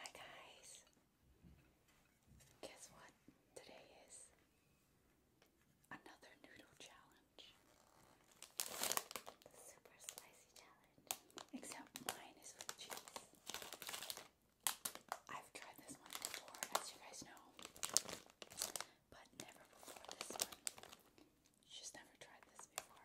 Hi guys! Guess what today is? Another noodle challenge. The super spicy challenge. Except mine is with cheese. I've tried this one before, as you guys know. But never before this one. She's never tried this before.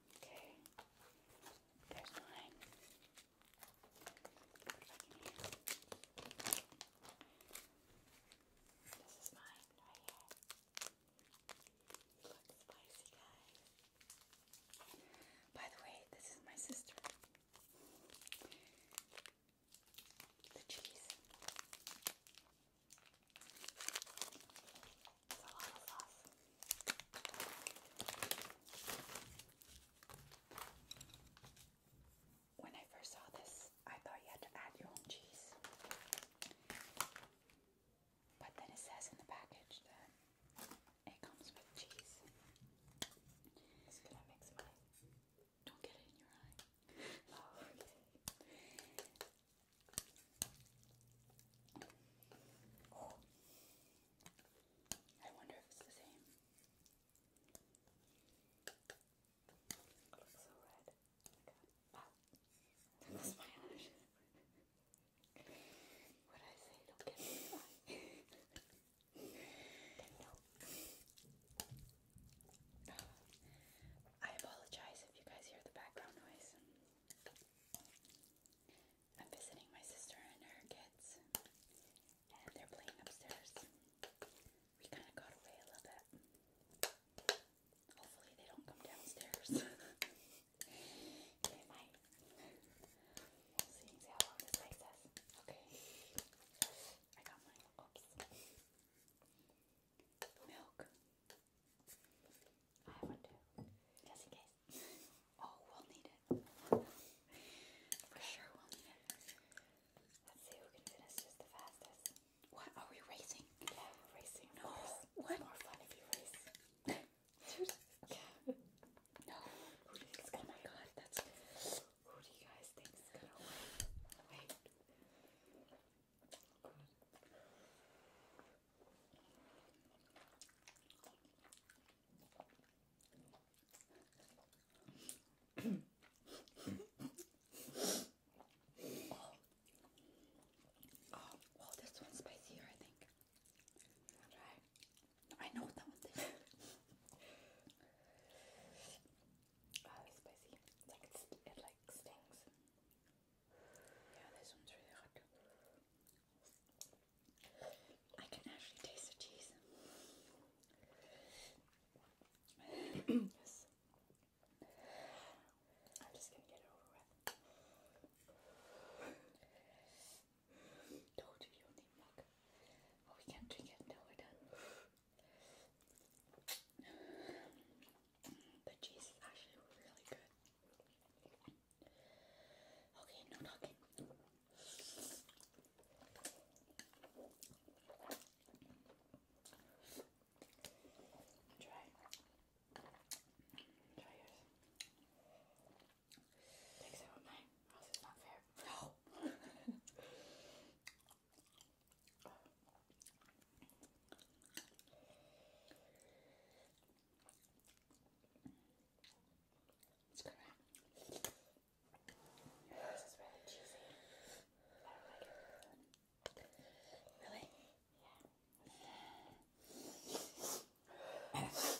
Okay. There's mine. This is mine right here. Look spicy, guys. By the way, this is my sister. The cheese. It's When I first saw this, I thought you had to add your own cheese. But then it says in the package that it comes with cheese. It's gonna mix mine. Don't get it in your eye. Oh, okay. Oh, I wonder if it's the same. It looks so red. Oh my god. my eyelash. what did I say? Don't get me I apologize if you guys hear the background noise. I'm visiting my sister and her kids, and they're playing upstairs. We kind of got away a little bit. Hopefully, they don't come downstairs. they might. We'll see, see how long this takes us. Okay. I got mine. Oops. Milk. oh, we'll need it. For sure we'll need it. Let's see who can finish just the fastest. What? Are we racing? Yeah, we're racing. No. What? more fun if you race. No. oh my god, that's who do you guys think is gonna win? Wait oh, well, this one's spicier, I think. i know that one uh, spicy. it like stings. Yeah, this one's really hot. I can actually taste the cheese. I'm just gonna get it over with. Told you don't need milk. we can't drink it until we're done. The cheese is actually really good. Okay, no talking. Try. Try yours. Takes out mine. Else it's not fair. No. It's gonna. Your nose is really cheesy. I don't like it. Really? Yeah. Stop talking.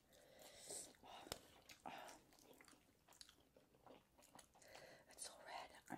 It's so red.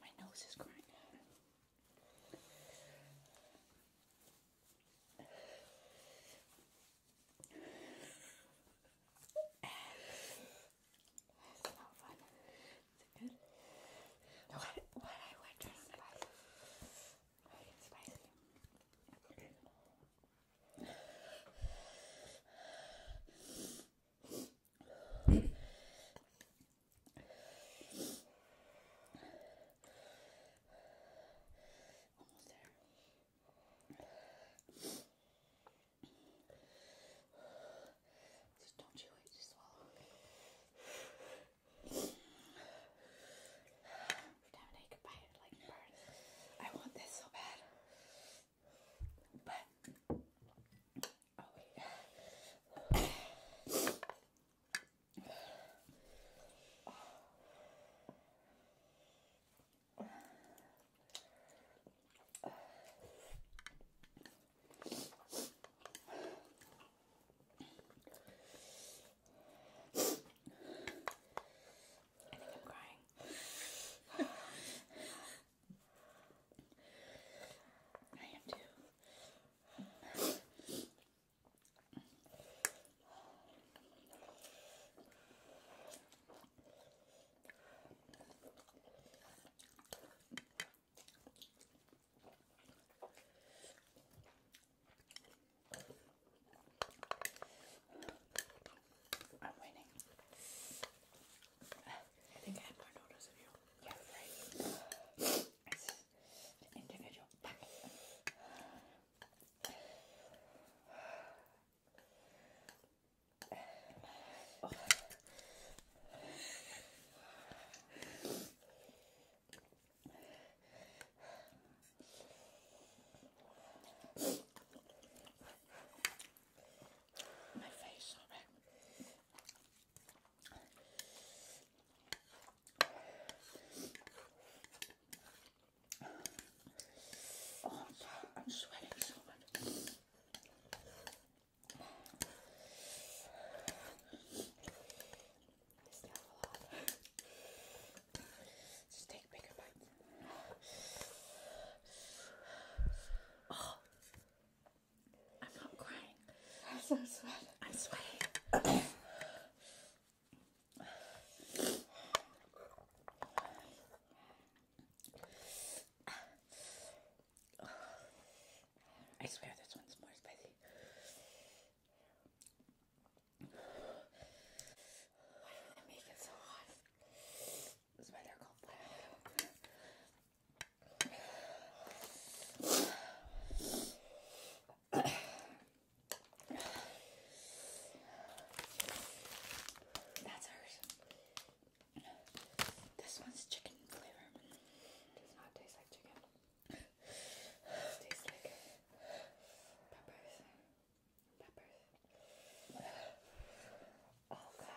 My nose is crying. That's not fun. Is it good? No. What, what I went to spicy. It's spicy. Almost there. Just don't chew it, just swallow I want this so bad. Oh, I think I'm crying. I am too. I'm winning. I think I had you. Yeah, right. individual oh. My face, sorry. Oh, I'm, sweating so much. Just take bigger bites. Oh. I'm not crying. I'm sweating. i swear this one's more spicy. Why did they make it so hot? That's ours. This one's chicken flavor. Does not taste like chicken. tastes like peppers. Peppers. Oh god.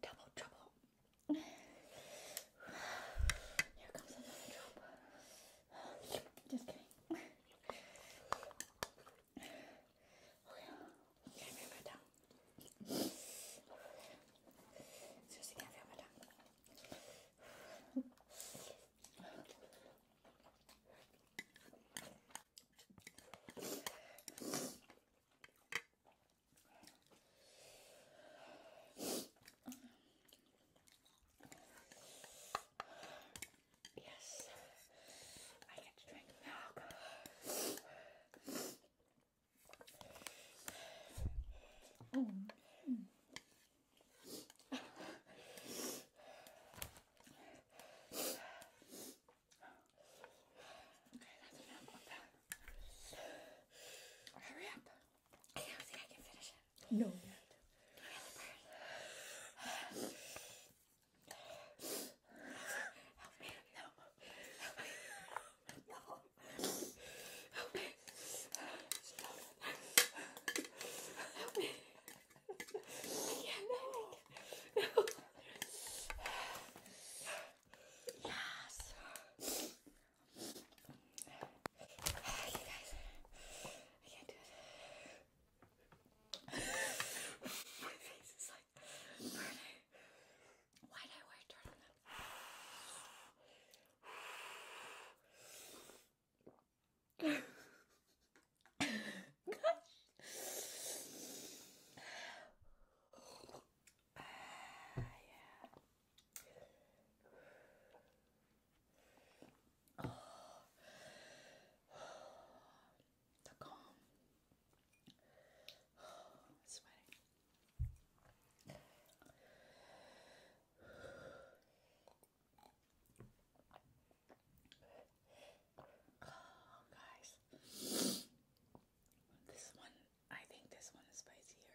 Double trouble. Here comes another trouble. Just kidding. Bienvenue, madame. Yes, I get drink milk. Oh. Okay, that's enough of that. Hurry up. I don't think I can finish it. No. Help me. No. Help me. No. Help me. Stop. Help me. I can't. No. No. Yes. You guys, I can't do it. My face is like burning. Why did I wear a Gosh. Uh, yeah. Oh the calm. guys, this one, I think this one is spicier.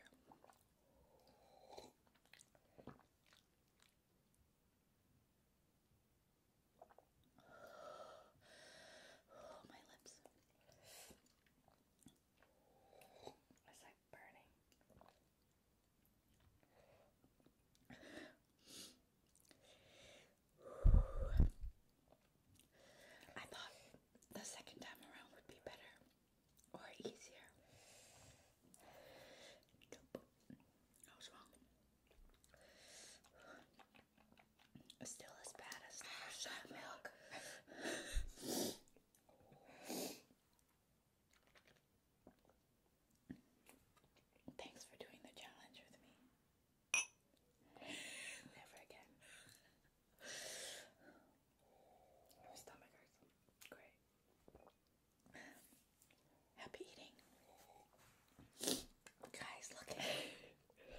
Oh, my lips. It's like burning. I thought the second time around would be better or easier. Nope. I was wrong. Still as bad as the milk. Thanks for doing the challenge with me. Never again. My stomach hurts. Great. Happy eating. Guys, look at that.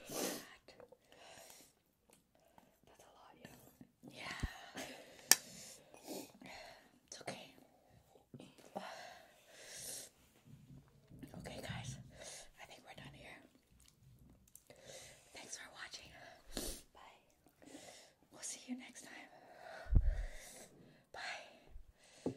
That's a lot, yeah. It's okay. Okay, guys. I think we're done here. Thanks for watching. Bye. We'll see you next time. Bye.